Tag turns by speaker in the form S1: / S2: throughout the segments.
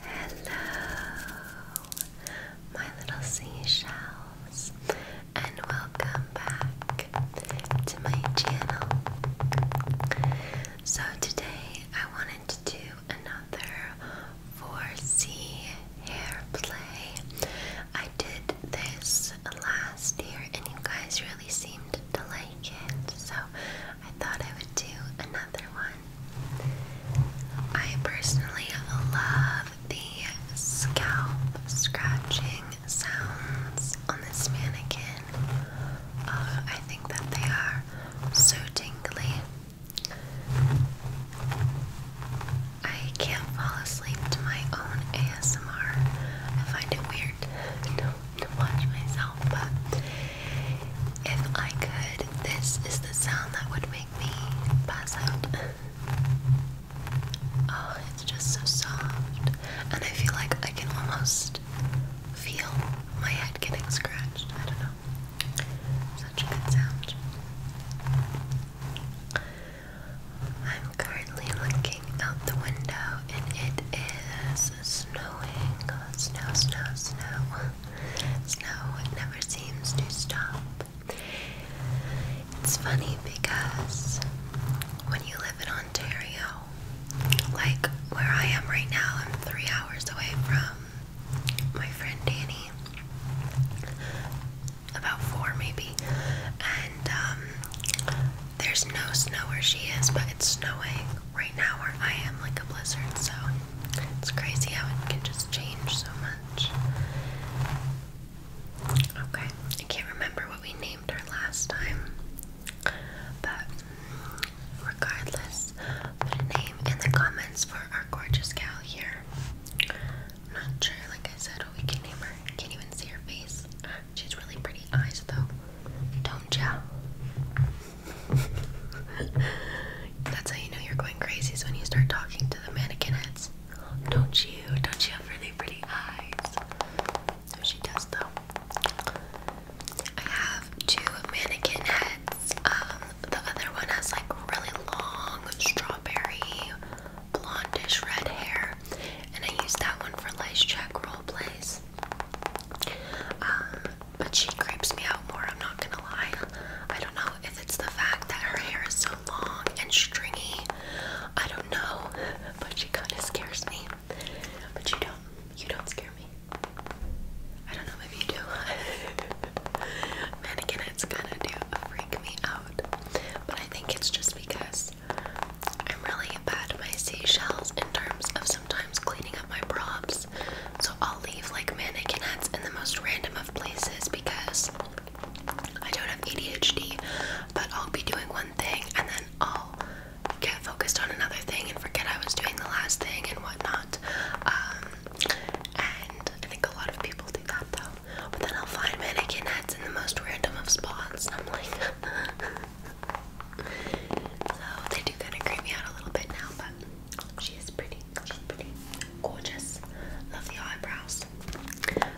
S1: Hello, my little seashells, and welcome back to my channel. So, today I wanted to do another 4 hair play. I did this last year, and you guys really seemed to like it, so I thought I would do another one. I personally love the scalp scratching sounds on this mannequin. Uh, I think that they are so tingly. I can't fall asleep to my own ASMR. I find it weird to, to watch myself, but if I could, this is the sound that would make me pass out. oh, it's just so soft. And I feel like I can almost feel my head getting scratched. I don't know. Such a good sound. I'm currently looking out the window and it is snowing. Snow, snow, snow. Snow never seems to stop. It's funny because when you live in Ontario, like where I am right now, I'm three hours away from my friend Danny, about four maybe, and um, there's no snow where she is, but it's snowing right now where I am like a blizzard, so it's crazy how it can just change so much. Okay, I can't remember what we named her last time, but regardless, put a name in the comments for our gorgeous gal here. I'm not sure, like I said, what we can name her. Can't even see her face. She has really pretty eyes, though. Don't ya? That's how you know you're going crazy is when you start talking to the mannequin heads. Don't you? Don't you have really pretty eyes? No, she does though. I have two mannequin heads. Um, the other one has like really long strawberry blondish red hair, and I use that one for lice check role plays. Um, but she creeps me out more, I'm not gonna lie. I don't know if it's the fact that her hair is so long and stringy. I don't know, but she kind of scares me. But you don't, you don't scare me. I don't know if you do. Mannequins kind of do freak me out, but I think it's just because I'm really bad at my seashells in terms of sometimes cleaning up my props. So I'll leave like mannequin hats in the most random of places because I don't have ADHD, but I'll be doing one thing and then I'll get focused on another thing and forget I was doing the last thing and whatnot. Um, and I think a lot of people do that though. But then I'll find mannequin in the most random of spots. I'm like, so they do kind of creep me out a little bit now, but she is pretty pretty, she's pretty gorgeous. Love eyebrows.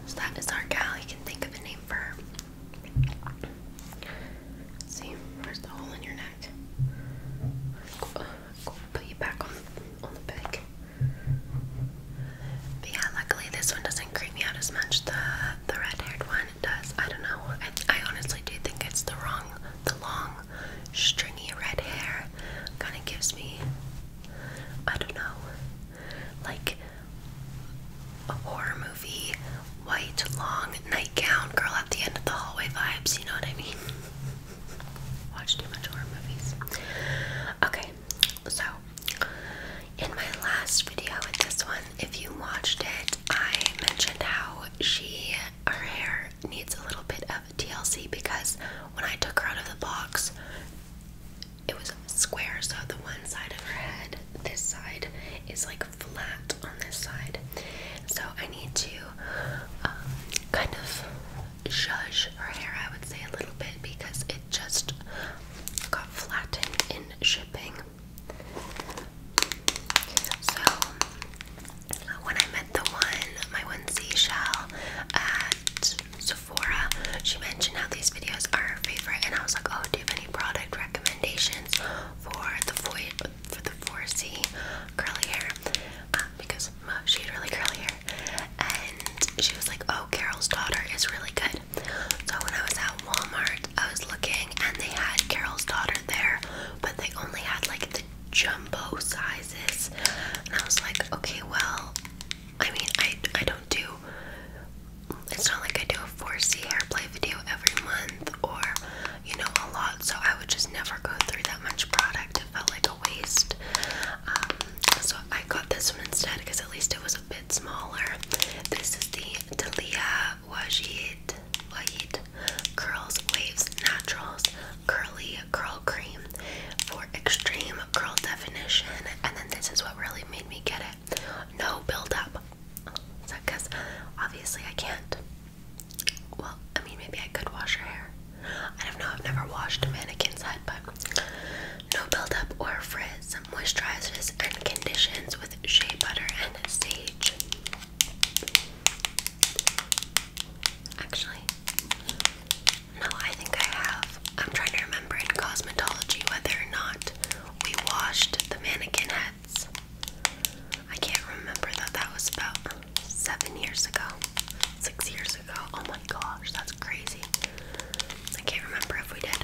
S1: So that is our gal. You can think of a name for her. see, where's the hole in your neck? put you back on on the peg. But yeah, luckily this one doesn't creep me out as much. The the red-haired one does. I don't know. I honestly do think it's the wrong the long stringy red hair kind of gives me, I don't know, like a horror movie, white, long nightgown, girl at the end of the hallway vibes, you know what I mean? Watch too much horror movies. Okay, so in my last video with this one, if you watched it, I mentioned how she her hair needs a little bit of TLC because when I took her out of the box, it was square. So the one side of her head, this side, is like flat on this side. So I need to um, kind of judge her hair, I would say, a little bit because it just got flattened in shipping. So when I met the one, my one seashell at Sephora, she mentioned how these videos are her favorite, and I was like, "Oh, do you have any product recommendations for the for the 4C curly hair?" Uh, because she had really curly hair, and she was like, "Oh, Carol's Daughter is really good." So when I was at Walmart, I was looking, and they had Carol's Daughter there, but they only had like the jumbo sizes. And I was like, okay, well, I mean, I, I don't do, it's not like I do a 4C play video every month or, you know, a lot. So I would just never go through that much product. It felt like a waste. Um, so I got this one instead because at least it was a bit smaller. This is the Dalia Wajid, Wajid Curls Waves Naturals curly curl cream for extreme curl definition. And then this is what really made me get it. No buildup. So, because obviously I can't. Well, I mean, maybe I could wash her hair. I don't know. I've never washed a mannequin's head, but no buildup or frizz. Moisturizes and conditions with shea butter and sage. Actually, no, I think I have. I'm trying to remember in cosmetology whether or not we washed the mannequin heads. I can't remember that that was about seven years ago, six years ago. Oh my gosh, that's crazy. I can't remember if we did.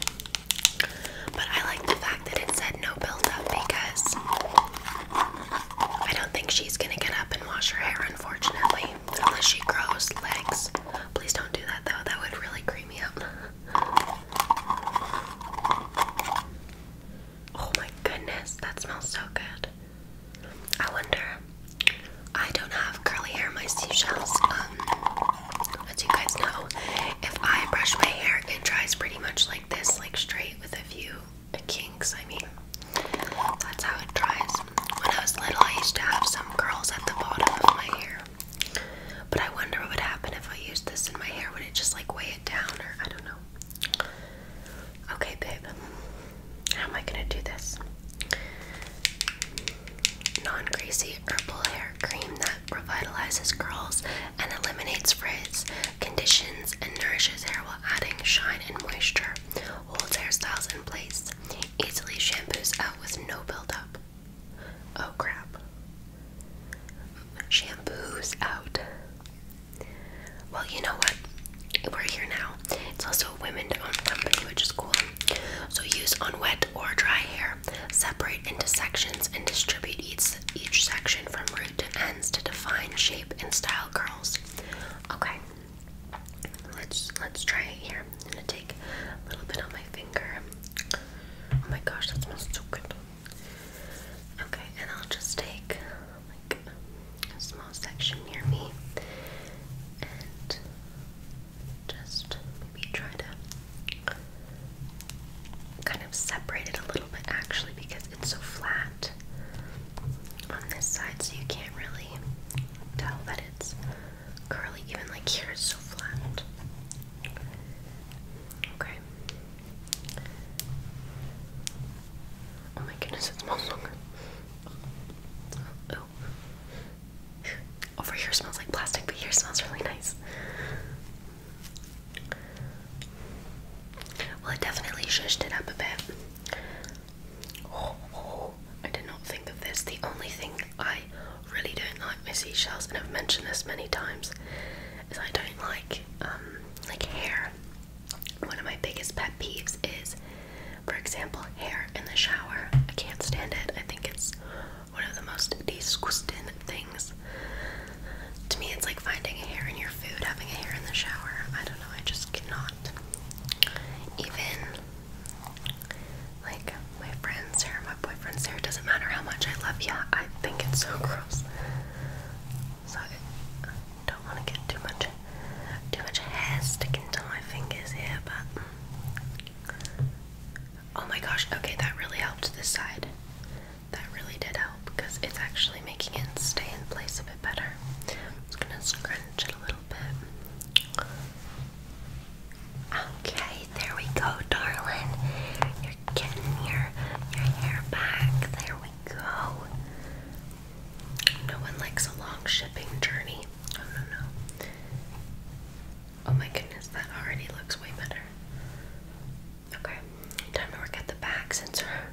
S1: But I like the fact that it said no buildup because I don't think she's gonna get up and wash her hair, unfortunately unless she grows legs. Please don't do that though, that would really creep me out. Oh my goodness, that smells so good. I wonder. I don't have curly hair, my seashells. Um, as you guys know, if I brush my hair, it dries pretty much like this, like straight with a few kinks. I mean, that's how it dries. When I was little, I used to have some curls at the bottom of my hair. But I wonder what would happen if I used this in my hair. Would it just like weigh it down or I don't know. Okay, babe. How am I gonna do this? Non-greasy herbal hair cream that revitalizes curls and eliminates frizz, conditions, and nourishes hair while adding shine and moisture holds hairstyles in place, easily shampoos out with no buildup. Oh crap. Shampoos out. Well, you know what? We're here now. It's also a women owned company, which is cool. So use on wet or dry hair. Separate into sections and distribute each, each section from root to ends to define shape and style curls. Okay, Let's let's try it here. I'm gonna take a little bit of my finger. Oh my gosh, that smells so good. Okay, and I'll just take like a small section near me and just maybe try to kind of separate it a little bit actually because it's so flat on this side so you can't really tell that it's curly, even like here so flat. Okay. Oh my goodness, it smells so good. Oh. Over here smells like plastic, but here smells really nice. Well, it definitely shushed it up a bit. I did not think of this. The only thing I really don't like my seashells, and I've mentioned this many times, is I don't like um, like hair. One of my biggest pet peeves is, for example, hair in the shower. I can't stand it. I think it's one of the most disgusting things. To me, it's like finding a hair in your food, having a hair in the shower. I don't know, I just cannot. Even like, my friend's hair, my boyfriend's hair, doesn't matter how much I love you, I think it's so gross. So I don't want to get too much, too much hair sticking into my fingers here, but... Mm. Oh my gosh, okay, that really helped this side. That really did help because it's actually making it stay in place a bit better. I'm just gonna scrunch it a little Okay, there we go, darling. You're getting your your hair back. There we go. No one likes a long shipping journey. Oh no no. Oh my goodness, that already looks way better. Okay, time to work at the back since her,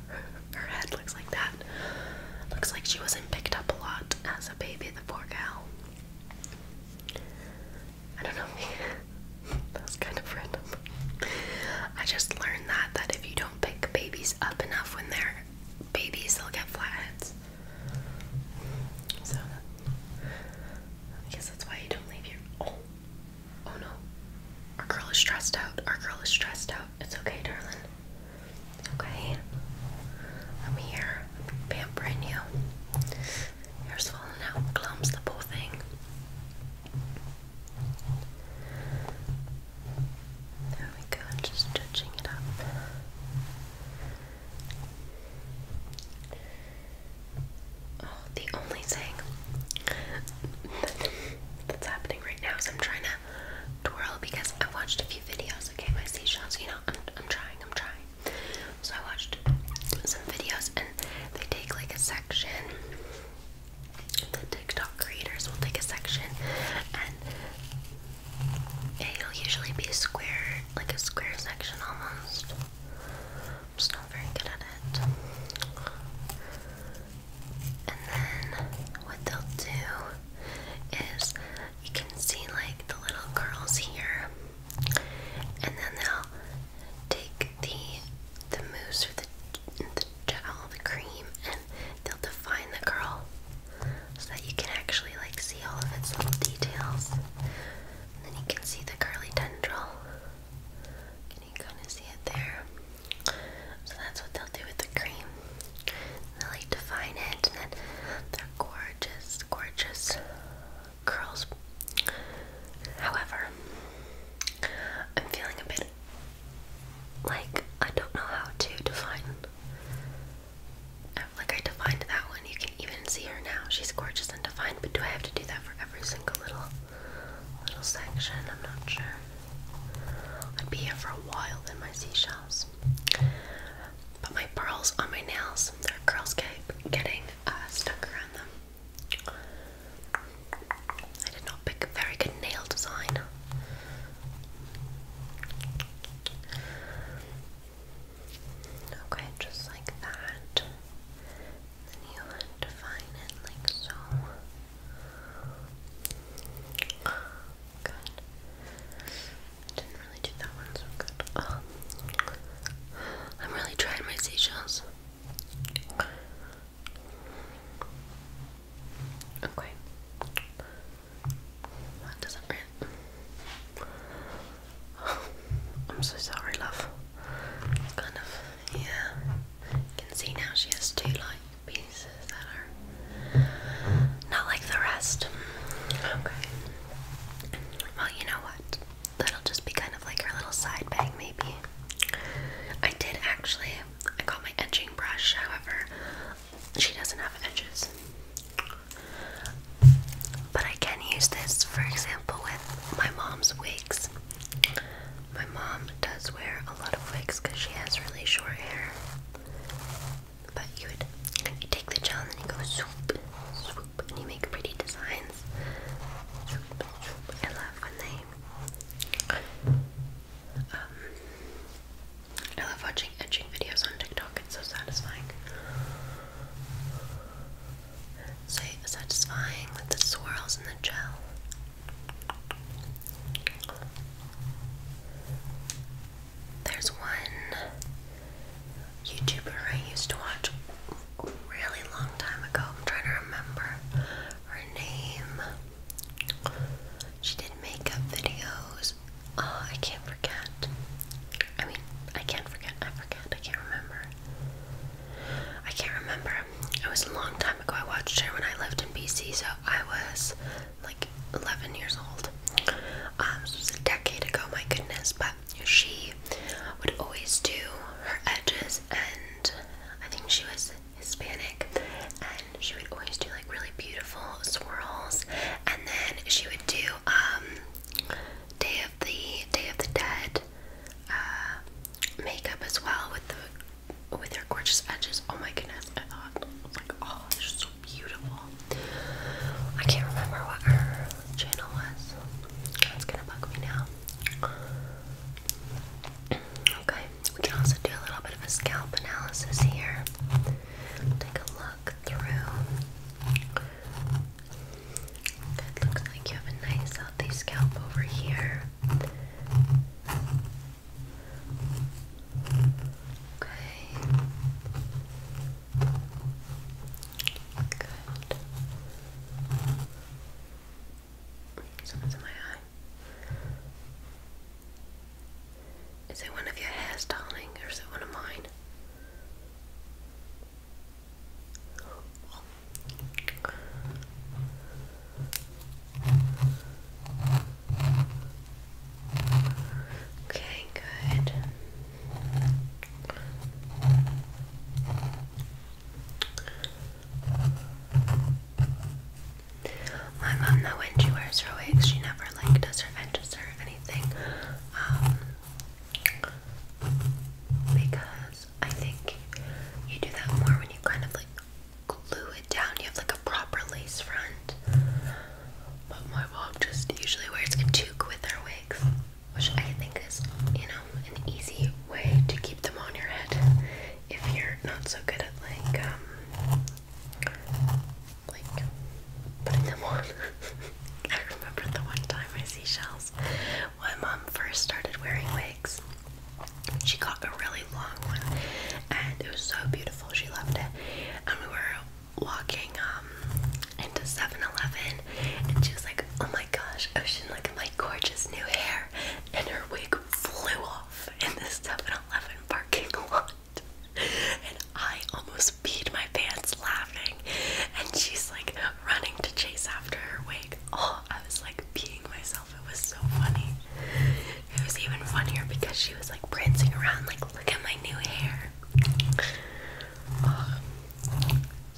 S1: her head looks like that. Looks like she wasn't picked up a lot as a baby, the poor gal. I don't know. that kind of random. I just learned that that if you don't pick babies up enough when they're babies, they'll get flatheads. So I guess that's why you don't leave your oh, oh no. Our girl is stressed out. Our girl is stressed out. It's okay, darling. Okay? I'm here, pampering you. Hair's falling out, clumps, the whole thing. There we go, just touching it up. Oh, the only thing that's happening right now is I'm trying to twirl because i watched a few videos. Okay, my seashells. You know, I'm I'm trying. I'm trying. So I watched some videos, and they take like a section. The TikTok creators will take a section, and it'll usually be a square, like a square section almost. I'm just not very good at it. And then what they'll do is you can see like the little curls here, and then they'll take the the mousse or the the gel, the cream, and they'll define the curl so that you can actually like see all of its little details. And then you can see the curly tendril. Can you kind of see it there? So that's what they'll do with the cream really define it, and then they're gorgeous, gorgeous curls. However, I'm feeling a bit like I don't know how to define. Like I defined that one, you can even see her now. She's gorgeous and defined, but do I have to do that for every single little little section? I'm not sure. I'd be here for a while in my seashells. Put my pearls on my nails, their curls keep getting uh, stuck around them. I did not pick a very good nail design. Okay, just like that. Then you define it like so. Good. I didn't really do that one so good. I'm really trying my seashells. Okay. That doesn't I'm so sorry, love. kind of, yeah. You can see now she has two, like, pieces that are not like the rest. Okay. Well, you know what? That'll just be kind of like her little side bang, maybe. I did actually, I got my edging brush, however, she doesn't have edges. But I can use this, for example, with my mom's wigs. My mom does wear a lot of wigs because she has really short hair. But you would you take the gel and you go swoop, swoop, and you make pretty designs. I love when they. Um, I love watching etching videos on TikTok. It's so satisfying. So satisfying with the swirls and the gel. There's one YouTuber I used to watch a really long time ago. I'm trying to remember her name. She did makeup videos. Oh, I can't forget. I mean, I can't forget. I forget. I can't remember. I can't remember. It was a long time ago. I watched her when I lived in BC, so I was like 11 years old. Um, a decade ago, my goodness. But she would always do her edges, and I think she was Hispanic, and she would always do like really beautiful swirls, and then she would do um, Day of the Day of the Dead uh, makeup as well with the with her gorgeous edges. Oh my goodness! beautiful. I can't remember what her channel was. That's gonna bug me now. Okay, we can also do a little bit of a scalp analysis here. Take a look through. It looks like you have a nice healthy scalp over here. Okay. Good. Someone's in my eye. Is it one of your hairs, darling, or is it one of mine? Okay, good. My mom though when she wears her wigs she never like does her edges or anything. Um, because I think you do that more when you kind of like glue it down. You have like a proper lace front. But my mom just usually wears a toque with her wigs which I think is, you know, an easy way to keep them on your head if you're not so good at like um, like putting them on. I remember the one time I see shells. When my mom first started wearing wigs, she got a really long one and it was so beautiful. She loved it. And we were walking um, into 7 and she was like, Oh my gosh, Ocean, like my gorgeous new hair and her wig flew off in this 7-Eleven parking lot and I almost peed my pants laughing and she's like running to chase after her wig. Oh I was like peeing myself. It was so funny. It was even funnier because she was like prancing around like look at my new hair.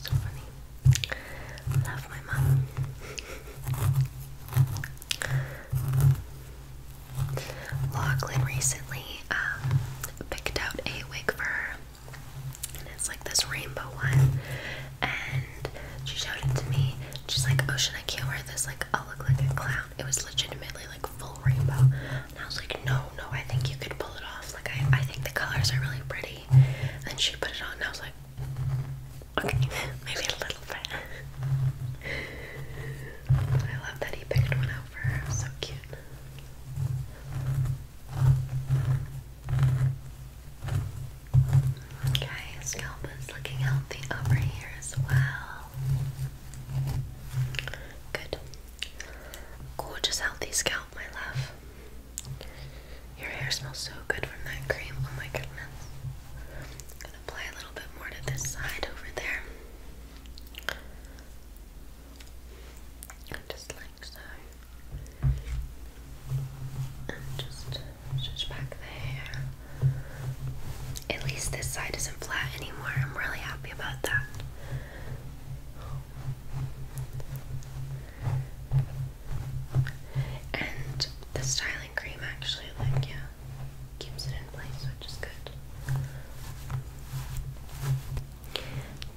S1: So funny. Love my mum. Lachlan recently um, picked out a wig for And it's like this rainbow one. And she showed it to me. She's like, "Ocean, oh, I can't wear this? Like, I'll look like a clown. It was legitimately like full rainbow. And I was like, no, no, I think you could pull it off. Like, I, I think the colors are really pretty. And she put it on, and I was like, okay, maybe a little bit. I love that he picked one out for her. so cute. Okay, scalp is looking healthy over here as well. Good. Gorgeous healthy scalp, my love. Your hair smells so good from that cream. Oh my goodness. gonna apply a little bit more to this side over there. Just like so. And just stretch back the hair. At least this side isn't flat anymore. I'm really happy about that. And the styling cream actually, like, yeah, keeps it in place, which is good.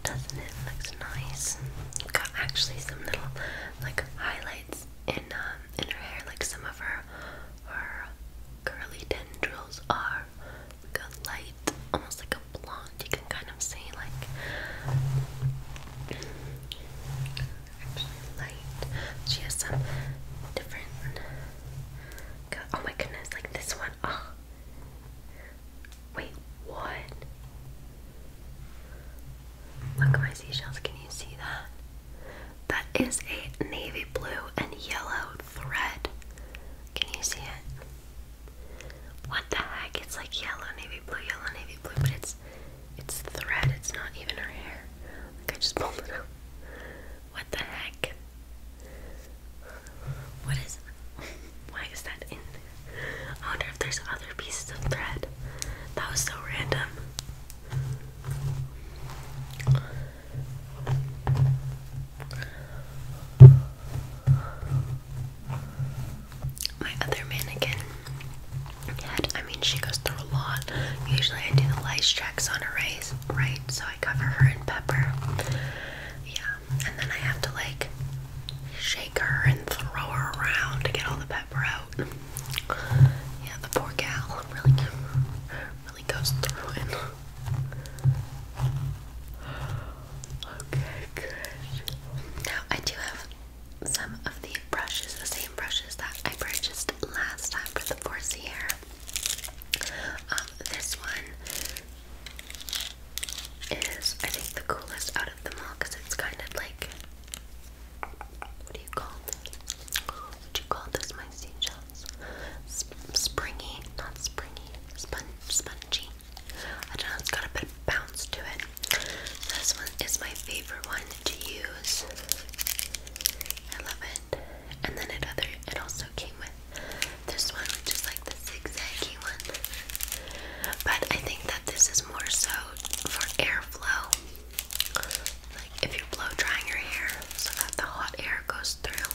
S1: Doesn't it look nice? got actually some little, like, highlights in um in her hair, like some of her her curly tendrils are like light, almost like a blonde. You can kind of see like actually light. She has some different. oh my goodness! Like this one. Oh. Wait, what? Look at my seashells. Can you see that? That is a navy blue and yellow thread. Can you see it? What the heck? It's like yellow, navy blue, yellow, navy blue, but it's it's thread, it's not even her hair. Like I just pulled it out. What the heck? What is why is that in there? I wonder if there's other pieces of thread. That was so random. My other mannequin had, I mean, she goes through a lot. Usually I do the lice checks on her race, right? So I cover her in pepper. Yeah, and then I have to like shake her and throw her around to get all the pepper out. Yeah, the poor gal really, really goes through it. Okay, good. Now I do have some of the brushes, the same brushes that I purchased last time for the Forcey um, this one is, I think, the coolest out of them all because it's kind of like, what do you call this? What do you call this, my seashells? springy, not springy, spon spongy. I don't know, it's got a bit of bounce to it. This one is my favorite one to use. I love it. And then it it also came with this one, which is like the zigzaggy one. But I think that this is more so for airflow. Like if you blow drying your hair so that the hot air goes through.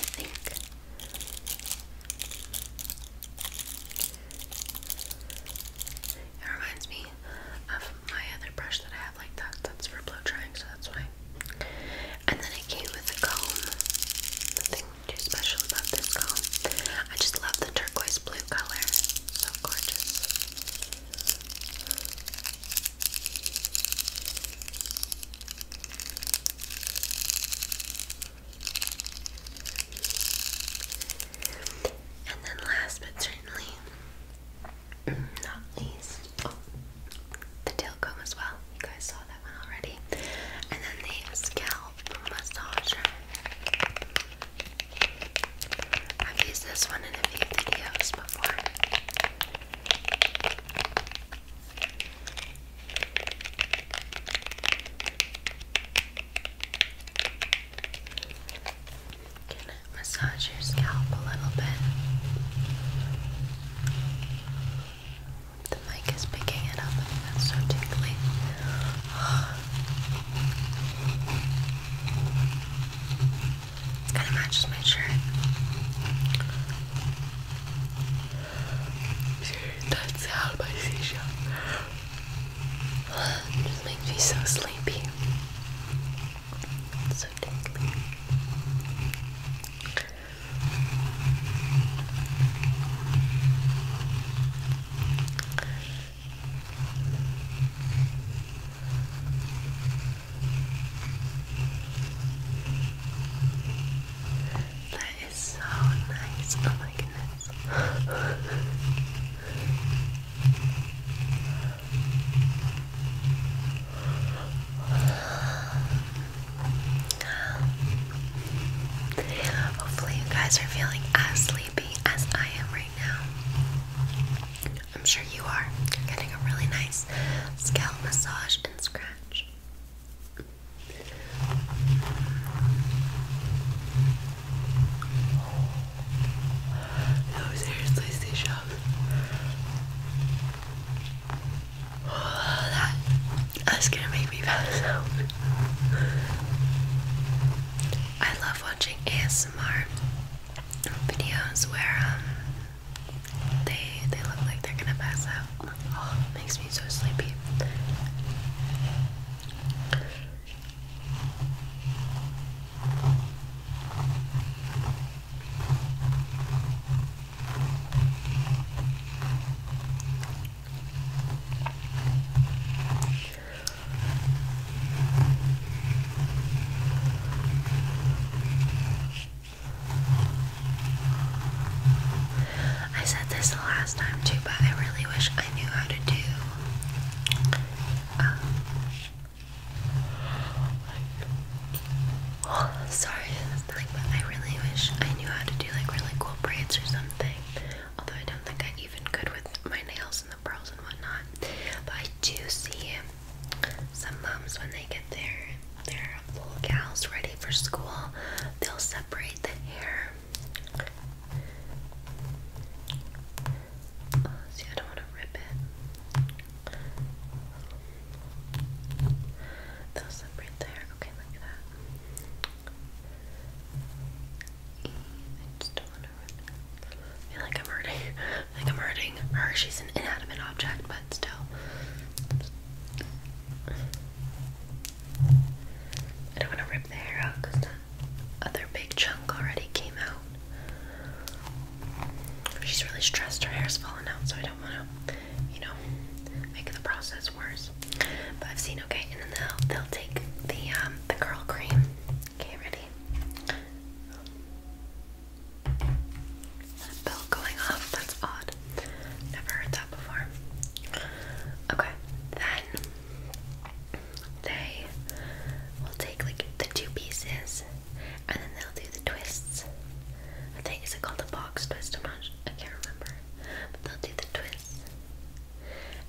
S1: I think. It reminds me of my other brush that I have like that. That's for blow drying, so that's why. And then it came with a comb. Nothing too special about this comb. I just love the turquoise blue color. So gorgeous. And then last but certainly not least, oh, the tail comb as well. You guys saw that one already. And then the scalp massager. I've used this one in a few videos before. You can massage your scalp a little bit. The mic is picking it up so tingly. kind of matches my shirt. That's how by seashell. It makes me so sleepy. so tingly. That so nice. Oh my goodness. Hopefully, you guys are feeling as sleepy as I am right now. I'm sure you are. You're getting a really nice scalp massage and scratch. No, seriously, seashells. Oh, that, that's gonna make me pass out. I love watching ASMR videos where um they they look like they're gonna pass out. Oh, makes me so sleepy. I said this the last time too, but I really wish I knew how to do oh, sorry, but I really wish I knew how to do like really cool braids or something. Although I don't think I even could with my nails and the pearls and whatnot. But I do see some moms when they get their their little gals ready for school, they'll separate the hair see, I don't want to rip it. That'll right there. Okay, look that. I just don't want to I feel like I'm hurting. I I'm hurting her. She's an inanimate object, but still. I don't want to rip the hair out because the other big chunk already came out. She's really stressed, her hair's falling out, so I don't want to, you know, make the process worse. But I've seen okay, and then they'll they'll take the um, the curl cream. Okay, ready? Bell going off, that's odd. Never heard that before. Okay, then they will take like the two pieces and then they'll do the twists. I think is it called a box twist? I'm not. I can't remember. But they'll do the twists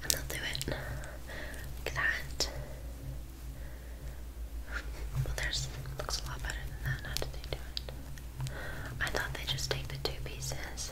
S1: and they'll do it like that. Well, there's looks a lot better than that. How did they do it? I thought they just take the two pieces.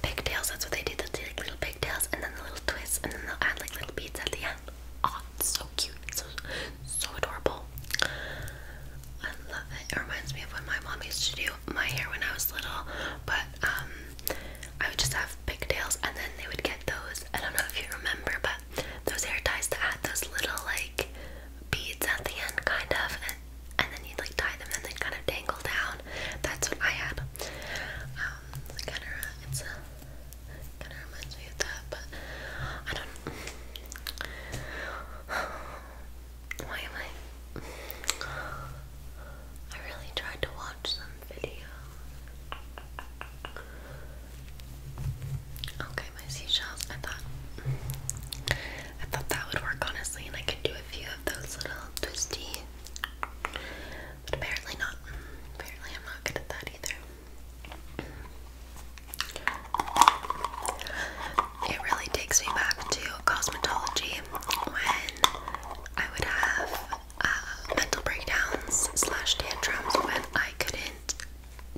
S1: pigtails, that's what they did. They'll like little pigtails and then the little twists and then they'll add like little beads at the end. Oh, so cute. so, so adorable. I love it. It reminds me of when my mom used to do my hair when I was little, but um, I would just have pigtails and then they would get those. I don't know if you remember, but those hair ties to add those little like beads at the end, kind of, and, then you'd like tie them and they'd kind of dangle down. That's what I had. Um, it's kind of it's a kind of reminds me of that, but I don't. Why am I? I really tried to watch some video. Okay, my seashells. I thought I thought that would work honestly, and I could do a few of those little twisty but apparently not. Apparently I'm not good at that either. It really takes me back to cosmetology when I would have uh, mental breakdowns slash tantrums when I couldn't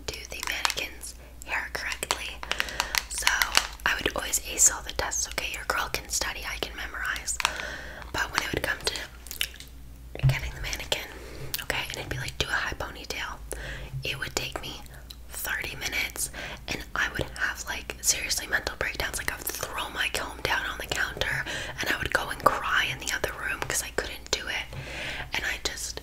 S1: do the mannequin's hair correctly. So I would always ace all the tests. Okay, your girl can study, I can memorize. But when it would come to getting the mannequin, okay, and it'd be like do a high ponytail. It would take me 30 minutes and I would have like seriously mental breakdowns. Like I'd throw my comb down on the counter and I would go and cry in the other room because I couldn't do it. And I just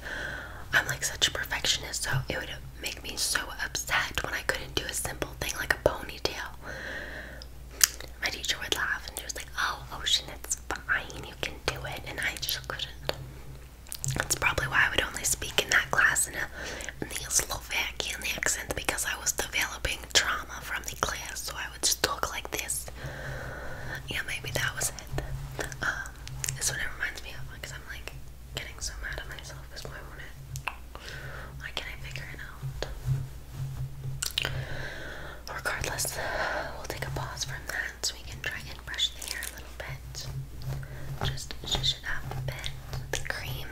S1: I'm like such a perfectionist, so it would make me so upset when I couldn't do a simple thing like a ponytail my teacher would laugh and she was like, Oh, Ocean, it's fine, you can do it. And I just couldn't. That's probably why I would only speak in that class in, a, in the Slovakian accent because I was developing trauma from the class, so I would just talk like this. Yeah, maybe that was it. Um, this one reminds me of because I'm like getting so mad at myself because why Why can't I figure it out? Regardless, we'll take a pause from that so we can try and brush the hair a little bit. Just shush it up a bit. The cream.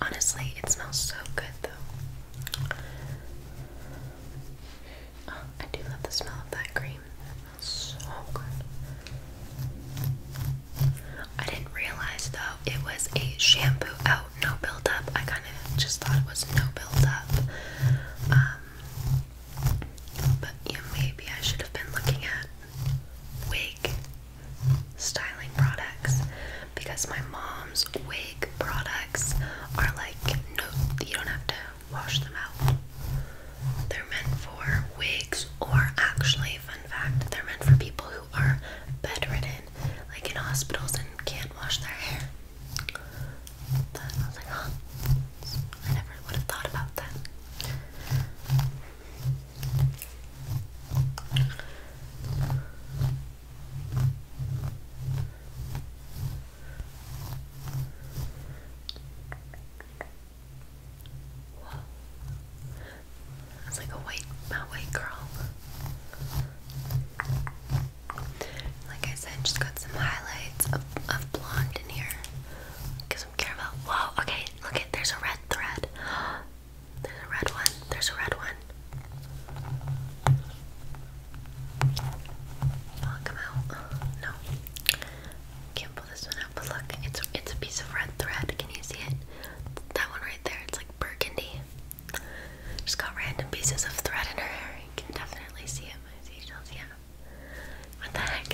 S1: Honestly, it smells so good though. Oh, I do love the smell of that cream. It smells so good. I didn't realize though it was a shampoo out no buildup. I kind of just thought it was no buildup. Um, but yeah, maybe I should have been looking at wig styling products because my mom's wig products are like no, you don't have to wash them out. They're meant for wigs, or actually, fun fact, they're meant for people who are bedridden, like in hospitals and can't wash their hair that. was like, huh, I never would have thought about that. Whoa. I like a white, my white girl. Like I said, just got some highlights of, of blonde in here. Get some caramel. Whoa, okay, look there's a red thread. There's a red one. There's a red one. Oh, come out? No. Can't pull this one out, but look, it's it's a piece of red thread. Can you see it? That one right there, it's like burgundy. She's got random pieces of thread in her hair. You can definitely see it. My seashells, yeah. What the heck?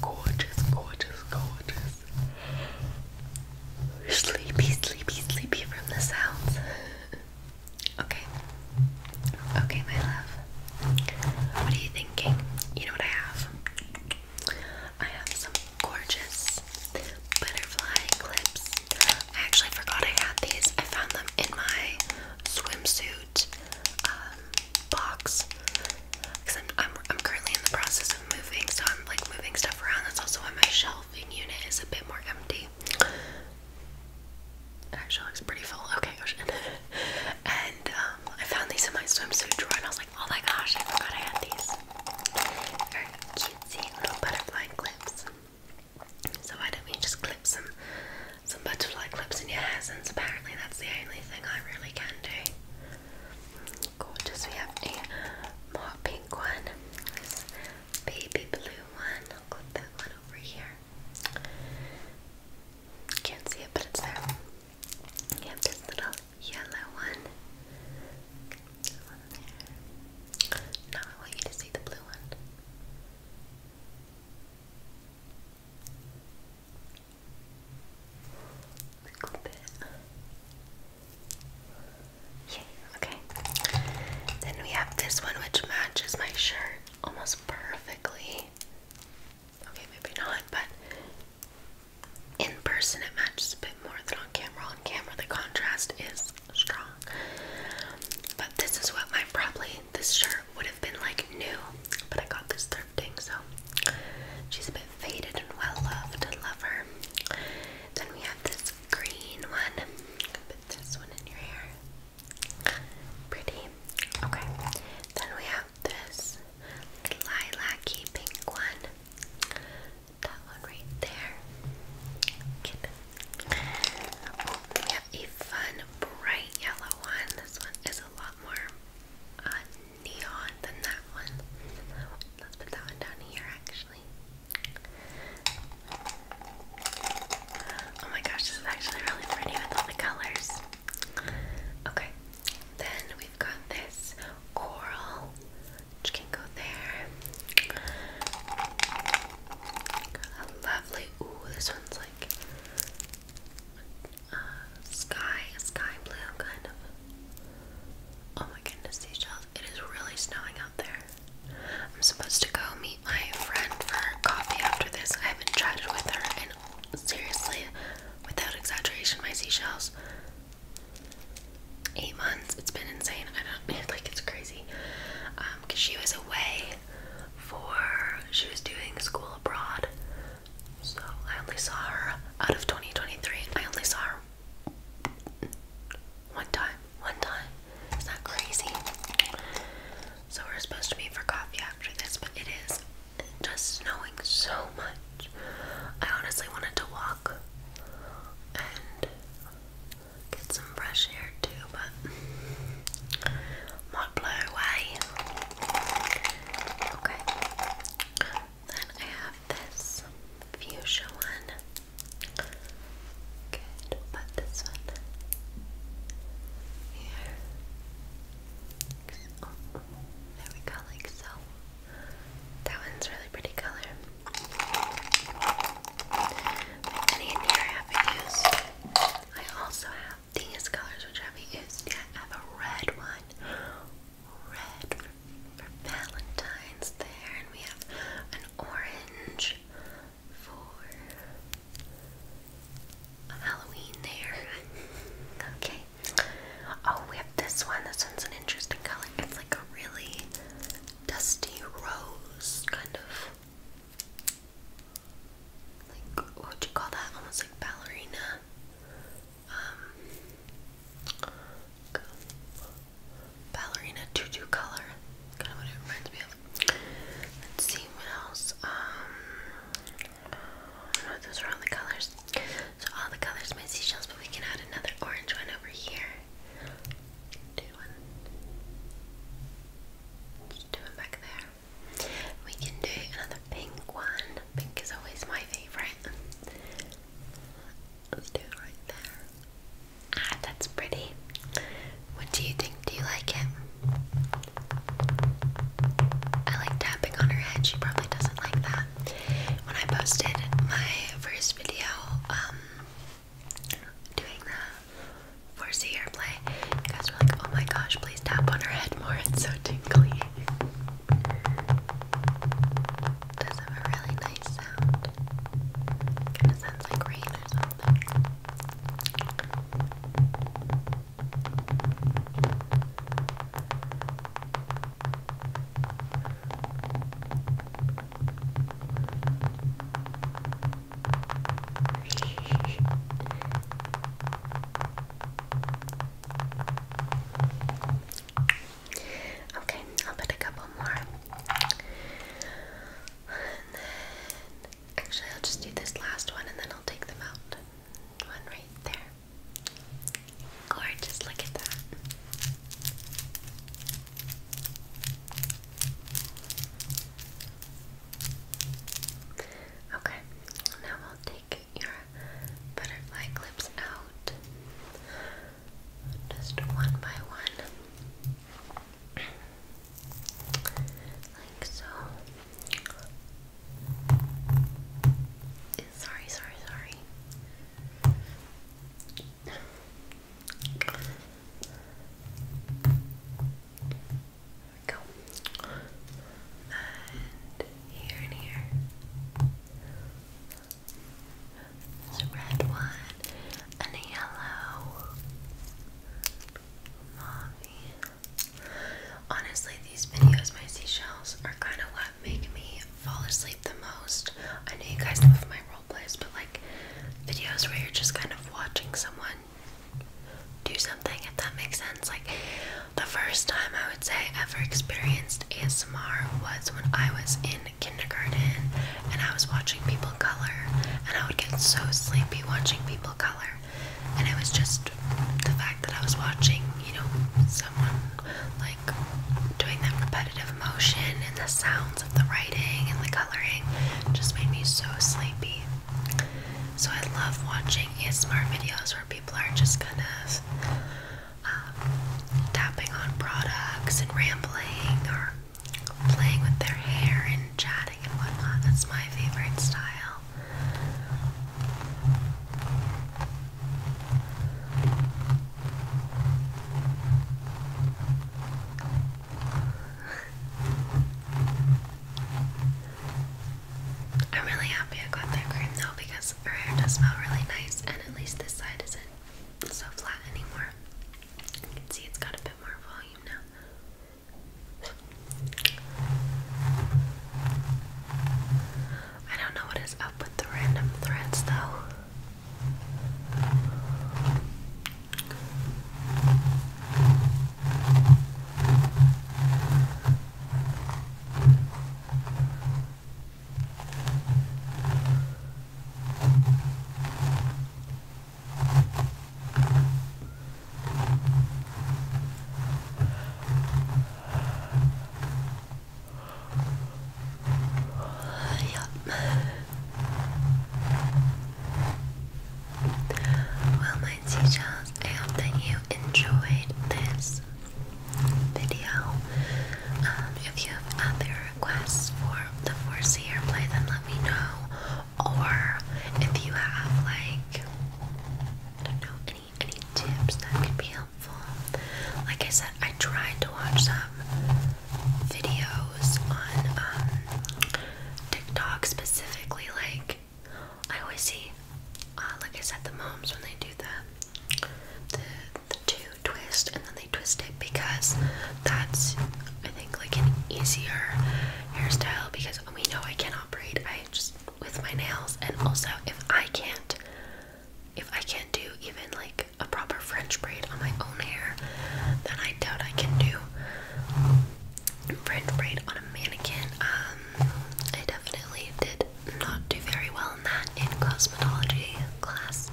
S1: Gorgeous, gorgeous, gorgeous. Sleepy, sleepy, sleepy from the sounds. okay. Okay, my love. What are you thinking? You know what I have? I have some gorgeous butterfly clips. I forgot I had these. I found them in my swimsuit um, box because I'm, I'm, currently in the process moving, so I'm like moving stuff around. That's also why my shelving unit is a bit more empty. It actually looks pretty full. Okay, gosh. and um, I found these in my swimsuit drawer, and I was like, oh my gosh, I forgot I had these. Very cutesy little butterfly clips. So why don't we just clip some some butterfly clips in your hair since apparently that's the only thing I really can do. Gorgeous. We have a matte pink one, this baby blue one. I'll put that one over here. Can't see it, but it's there. We have this little yellow one. Now I want you to see the blue one. A little bit. Yay, okay. Then we have this one which matches my shirt almost perfectly. Okay, maybe not, but in person it matches a bit more than on camera. On camera the contrast is strong. But this is what my probably this shirt would have been like new, but I got this thrifting, so she's a bit faded and well loved. and love her. Then we have this green one. Put this one in your hair. Pretty. Okay. Then we have this lilac-y pink one. That one right there. we have a fun bright yellow one. This one is a lot more uh, neon than that one. Let's put that one down here actually. Oh my gosh, this is actually really pretty with all the colors. Okay, then we've got this coral, which can go there. A lovely, ooh, this one's like uh, sky, sky blue kind of. Oh my goodness, seashells. It is really snowing I'm supposed to go meet my friend for coffee after this. I haven't chatted with her, and seriously, without exaggeration, my seashells. Eight months. It's been insane. I don't like it's crazy. Um, cause she was away for she was doing school abroad. So I only saw her out of 2023. I only saw her one time, one time. Is that crazy? So we're supposed to be for coffee after this, but it is just snowing so much. I honestly wanted to walk and get some fresh air too, but not blow away. Okay. Then I have this fuchsia one. Good, put this one here. Oh, there we go, like so. That one's really pretty color. Many in here I have used. I also have these colors which I have used yet. I have a red one. Red for Valentine's there, and we have orange for Halloween there. okay. Oh, we have this one. This one's an interesting color. It's like a really dusty rose, kind of. Like, what would you call that? Almost like ballerina. Um, ballerina tutu color. Kind of what it reminds me of. Let's see what else. Um, those are all the colors. So all the colors, my seashells, but we can add another orange one over here. Do one. Just do it back there. We can do another pink one. Pink is always my favorite. Let's do it right there. Ah, that's pretty. What do you think? Do you like it? I like tapping on her head. She probably doesn't like that. When I posted my first video, um, doing the Forza Airplay, you guys were like, oh my gosh, please tap on her head more. It's so tingly. Does have a really nice sounds like rain or something. Okay, I'll put a couple more and then, actually, I'll just do this last one and then I'll take them out. One right there. Gorgeous, look at that. Okay, now we'll take your butterfly clips out just one by one like so. Sorry, sorry, sorry. go. And here and here. There's a red one and a yellow. Mommy. Honestly, these videos, my seashells, are kind of what make me fall asleep the most. I know you guys love my role plays, but like videos where you're just kind of watching someone do something, if that makes sense. Like the first time I would say I ever experienced ASMR was when I was in kindergarten and I was watching people color and I would get so sleepy watching people color and it was just the fact that I was watching, you know, someone like doing that repetitive motion and the sounds of the writing and the coloring just made me so sleepy. So I love watching ASMR videos where people are just kind of um, tapping on products and rambling or playing with their hair and chatting and whatnot. That's my favorite style. I'm really happy I got that cream though because her hair does smell really nice and at least this side isn't so flat anymore. You can see it's got a bit I don't know what is up with the random threads though. Yeah. Well, my seashells, I hope that you enjoyed this video. Um, if you have other requests for the 4 play, then let me know or if you have like I don't know any any tips that could be helpful. Like I said, I tried to watch some videos on um, TikTok specifically. Like I always see, uh, like I said, the moms when they do the the the two twist and then they twist it because that's I think like an easier hairstyle because we know I can't braid. I just with my nails, and also if I can't, if I can't do even like a proper French braid on my own hair, then I doubt I can do French braid on a mannequin. Um, I definitely did not do very well in that in cosmetology class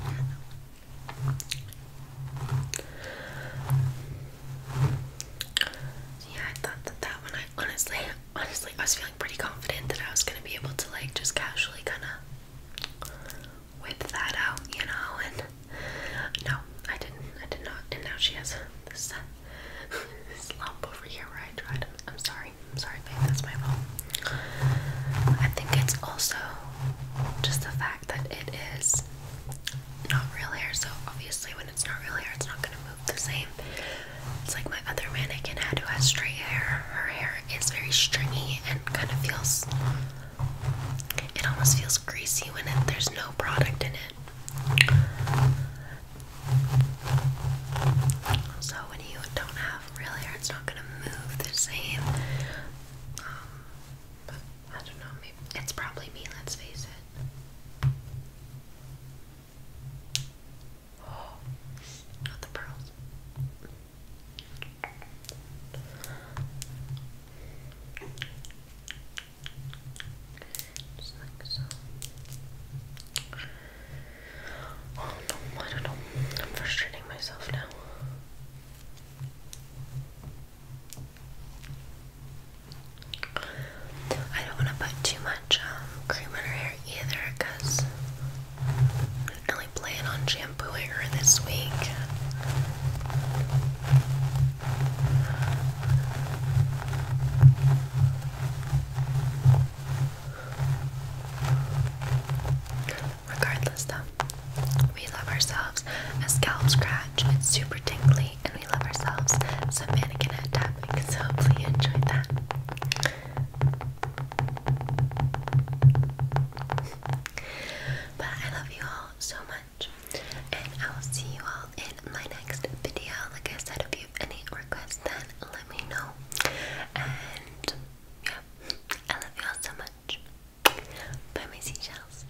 S1: yeah, I thought that that one. I honestly, honestly, I was feeling pretty confident that I was gonna be able to like just casually kind of whip that out, you know. And no, I didn't. I did not. And now she has this uh, lump over here where I tried. I'm, I'm sorry. I'm sorry, babe. That's my fault. I think it's also just the fact that it is not real hair, so obviously when it's not real hair, it's not gonna move the same. It's like my other mannequin had who has straight hair. Her hair is very stringy and kind of feels. It almost feels greasy when it, there's no product in it. So when you don't have real hair, it's not gonna move the same. Um, I don't know, maybe it's probably me, let's face it. not the pearls. Oh, I don't know. I'm frustrating myself now. I don't want to put too much um, cream in her hair either because I didn't really plan on shampooing her this week. Regardless, though, we love ourselves a scalp scratch. It's super tingly we love ourselves some mannequinette tapping. So hopefully you enjoyed that. But I love you all so much, and I will see you all in my next video. Like I said, if you have any requests, then let me know. And yeah, I love you all so much. Bye, my seashells.